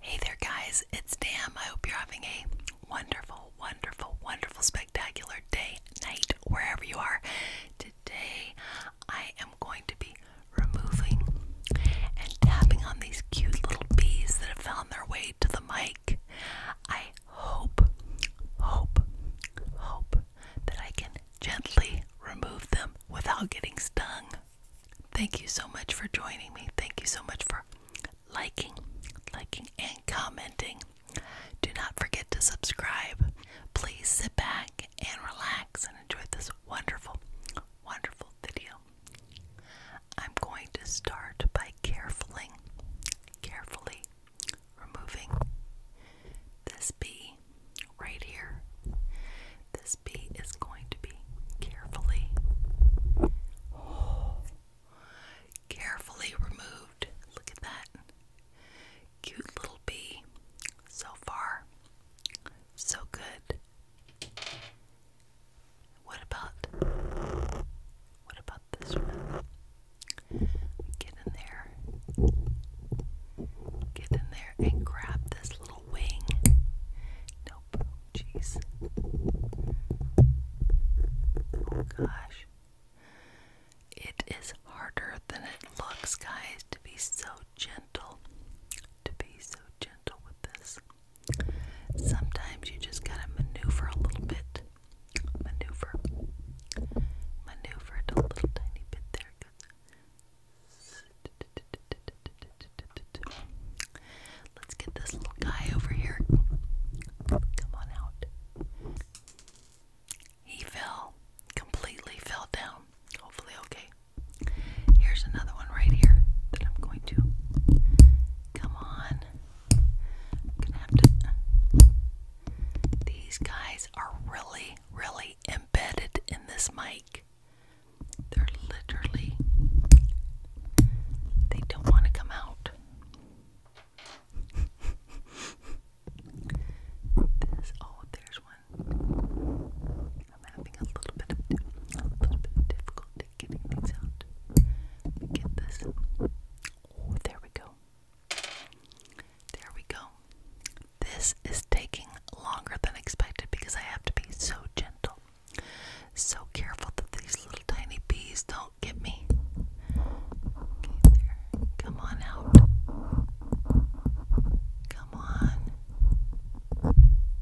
Hey there, guys, it's Dam. I hope you're having a wonderful, wonderful, wonderful, spectacular day, night, wherever you are. Today, I am going to be removing and tapping on these cute little bees that have found their way to the mic. I hope, hope, hope that I can gently remove them without getting stung. Thank you so much for joining me. Thank you so much for liking, liking, and commenting. Do not forget to subscribe. Please sit back and relax and enjoy this wonderful, wonderful video. I'm going to start by carefully, carefully removing this bee right here. This recipe is going to be carefully, carefully removed. Look at that cute little bee. So far, so good. What about what about this one? Get in there. Get in there and grab this little wing. Nope. Jeez. Oh gosh. It is harder than it looks, guys, to be so gentle. To be so gentle with this. Sometimes you just gotta maneuver a little bit. Maneuver. Maneuver it a little tiny bit there. Let's get this little guy over here. Come on out. He fell, completely fell down. Hopefully, okay. Here's another one right here that I'm going to. Come on. gonna have to. These guys are really, really embedded in this mic. They're literally, they don't want to come out. oh, there's one. I'm having a little bit of, a little bit difficulty getting things out. Let me get this. Oh, there we go. There we go. This is taking longer than expected because I have to be so gentle. So careful that these little tiny bees don't get me. Okay, there. Come on out. Come on.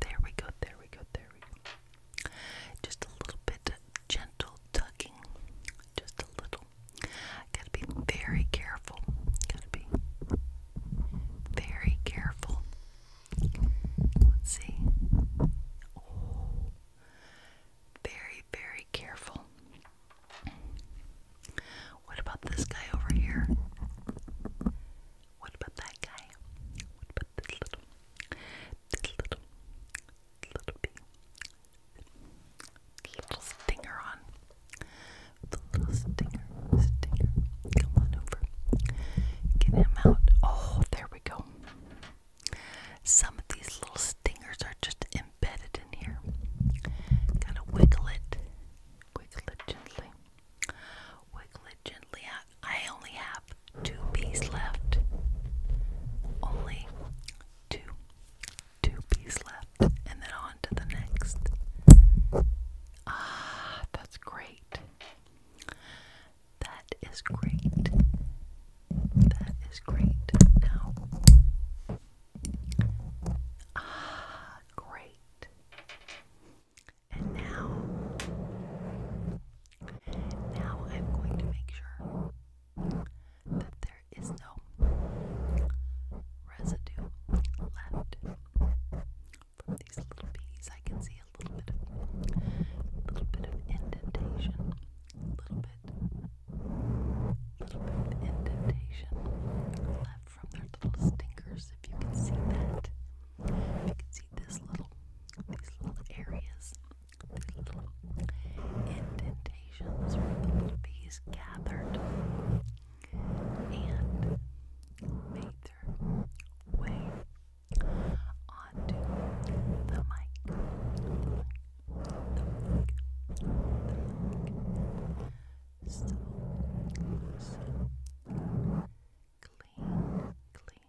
There we go, there we go, there we go. Just a little bit gentle tugging. Just a little. Gotta be very careful. Gotta be very careful. Let's see. Oh, very, very careful. What about this guy over here? What about that guy? What about this little, this little, little bee? Little stinger on with little stinger, stinger. Come on over. Get him out. Oh, there we go. Some of these little stingers are just embedded in here. Gotta wiggle it. Wiggle it gently. Wiggle it gently I only have two bees left. Only two two bees left, and then on to the next. Ah, that's great. That is great. That is great. Now, ah, great. And now, now I'm going to make sure that there there is no residue left from these little bees. I can see a little bit of little bit of indentation, little bit, little bit of indentation left from their little stinkers. If you can see that, if you can see this little, these little areas, these little indentations where the little bees gathered and made their way onto the mic. The mic, the mic, the mic. clean, clean, clean, clean, clean.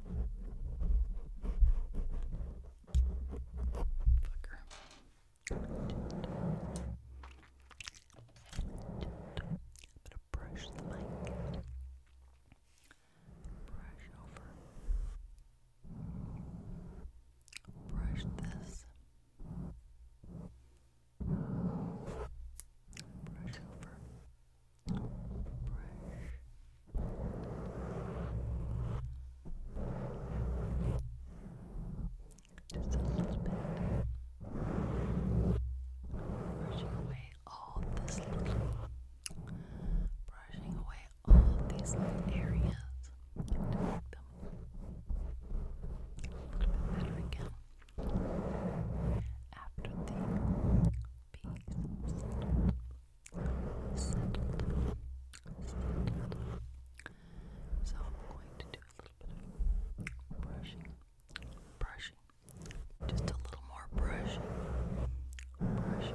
Fucker. Just, just a bit of brush the mic. Brush over. Brush this. Brush over. Just Brushing away all this brushing away all these little areas a little bit better again. After the being settled, settled. So I'm going to do a little bit of brushing, brushing, just a little more Brushing, brushing,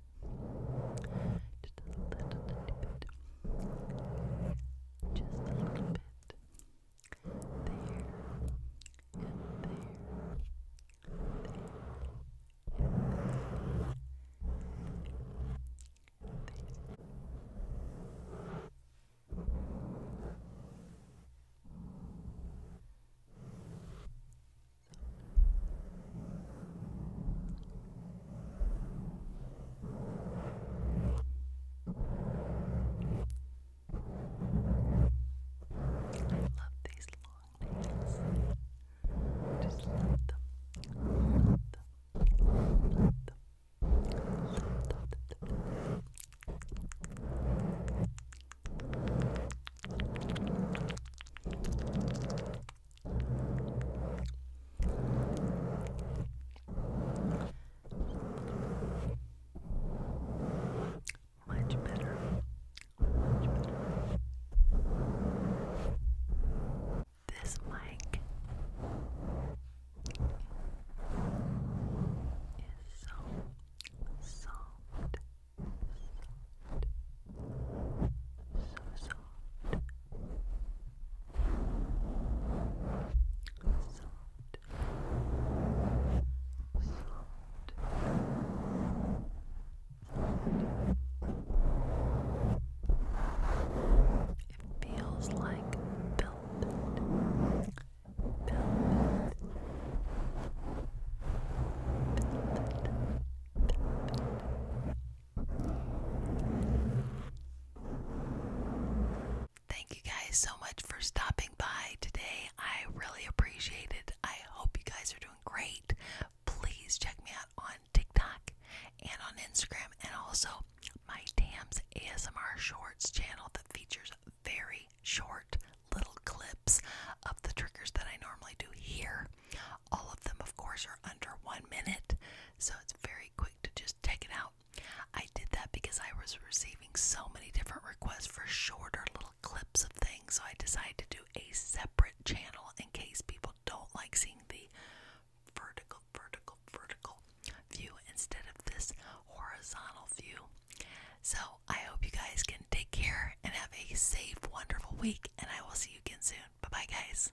bit. Just a little bit. Just a little bit. There. And there. there. There love these long nails. Just love them. Love them. Love them. Love them. Love them. Much better. Much better. This mic is so soft soft, so soft, soft, soft. It feels like velvet, velvet, Thank you guys so much for stopping by today. I really appreciate it. I hope you guys are doing great. Please check me out on TikTok and on Instagram and also my Tams ASMR Shorts channel that features very short little clips of the triggers that I normally do here. All of them, of course, are under one minute, so it's very quick to just take it out. I did that because I was receiving so many different requests for shorter little clips of things, so I decided to do a separate channel in case people don't like seeing the vertical, vertical, vertical view instead of this horizontal view. So I hope you guys can take care and have a safe, wonderful week, and I will see you again soon. Bye bye, guys.